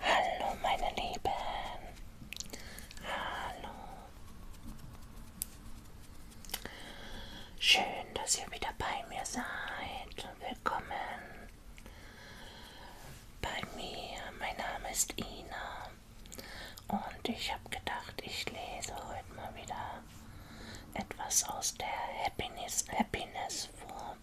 Hallo meine Lieben. Hallo. Schön, dass ihr wieder bei mir seid. Willkommen bei mir. Mein Name ist Ina. Und ich habe gedacht, ich lese heute mal wieder etwas aus der Happiness, Happiness vor.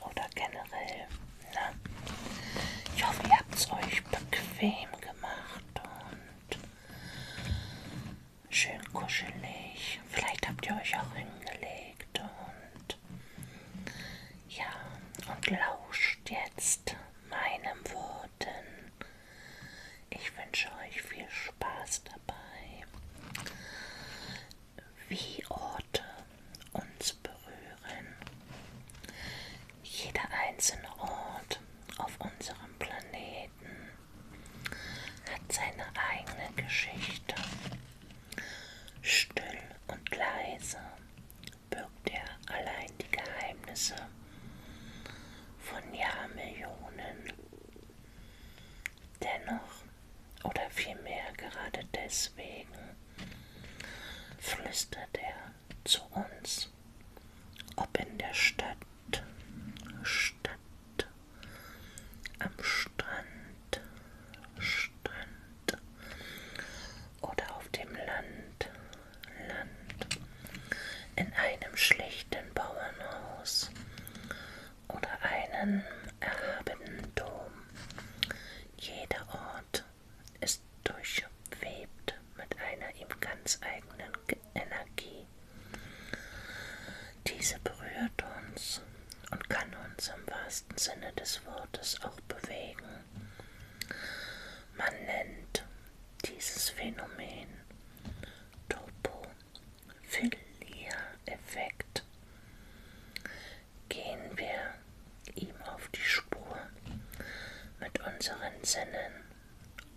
oder generell. Na? Ne? Ich hoffe, ihr habt es euch bequem gemacht und schön kuschelig. Vielleicht habt ihr euch auch hingelegt und ja, und lauscht jetzt meinen Worten. Ich wünsche euch viel Spaß dabei wie Orte uns berühren. Jeder einzelne Ort auf unserem Planeten hat seine eigene Geschichte. Still und leise birgt er allein die Geheimnisse von Jahrmillionen. Dennoch, oder vielmehr gerade deswegen, flüstert er zu uns, ob in der Stadt, Stadt, am Strand, Strand oder auf dem Land, Land, in einem schlichten Bauernhaus oder einen erhabenen Dom. Jeder Ort ist durchwebt mit einer ihm ganz eigenen Energie. Diese berührt uns und kann uns im wahrsten Sinne des Wortes auch bewegen. Man nennt dieses Phänomen Topophilia-Effekt. Gehen wir ihm auf die Spur mit unseren Sinnen,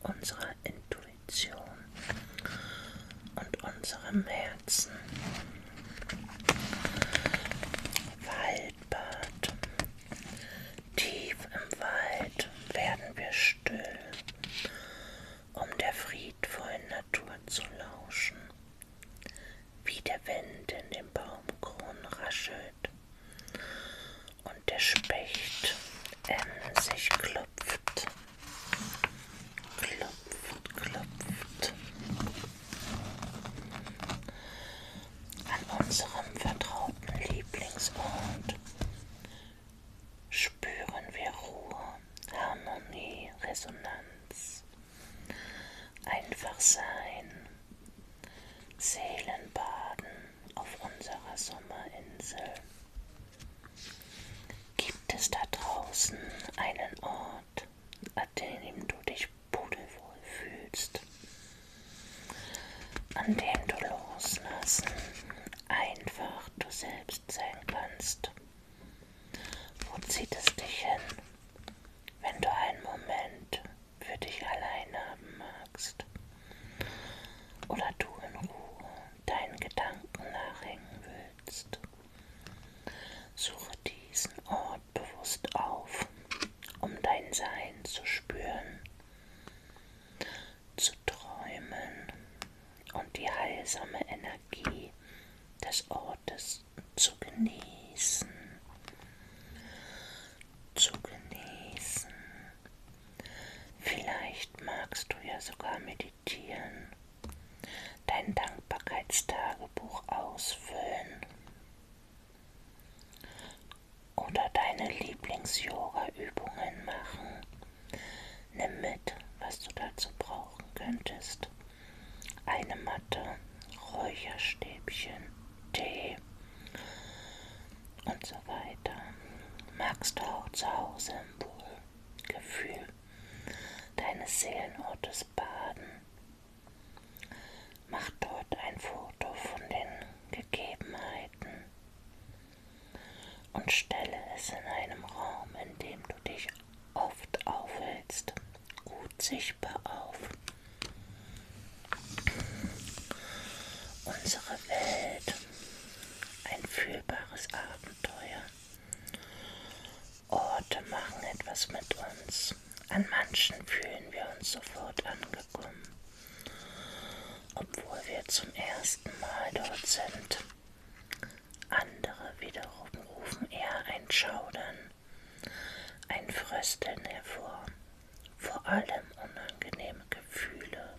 unserer Intuition und unserem Herzen. Waldbad. Tief im Wald werden wir still um der friedvollen Natur zu lauschen, wie der Wind in den Baumkronen raschelt und der Specht emsig klopft, klopft, klopft. An unserem vertrauten Lieblingsort spüren wir Ruhe, Harmonie, Resonanz, einfach sein, Seelenbaden auf unserer Sommerinsel. Gibt es da draußen einen Ort, an dem du dich pudelwohl fühlst, an dem du loslassen einfach du selbst sein kannst. Wo zieht es dich hin, wenn du einen Moment für dich allein haben magst? Oder du in Ruhe deinen Gedanken nachhängen willst? Suche diesen Ort bewusst auf, um dein Sein zu spüren zu träumen und die heilsame Energie des Ortes zu genießen. Zu genießen. Vielleicht magst du ja sogar meditieren, dein Dankbarkeitstagebuch ausfüllen oder deine Lieblings-Yoga-Übungen machen. Nimm mit, was du dazu brauchen könntest. Eine Matte, Räucherstäbchen, Tee und so weiter. Magst du auch zu Hause im Wohlgefühl deines Seelenortes baden? Mach dort ein Foto von den Gegebenheiten und stelle es in einem Raum, in dem du dich oft aufhältst, gut sichtbar auf. Unsere Welt, ein fühlbares Abenteuer. Orte machen etwas mit uns. An manchen fühlen wir uns sofort angekommen, obwohl wir zum ersten Mal dort sind. Andere wiederum rufen eher ein Schaudern, ein Frösteln hervor, vor allem unangenehme Gefühle.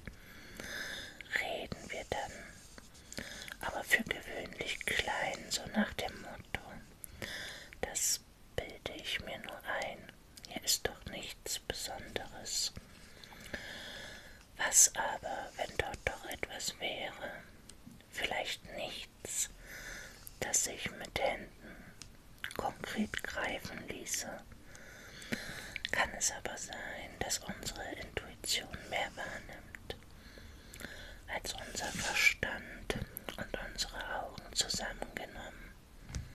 Reden wir dann, aber für gewöhnlich klein, so nach dem Motto, das bilde ich mir nur ein hier ist doch nichts Besonderes. Was aber, wenn dort doch etwas wäre? Vielleicht nichts, das sich mit Händen konkret greifen ließe. Kann es aber sein, dass unsere Intuition mehr wahrnimmt, als unser Verstand und unsere Augen zusammengenommen.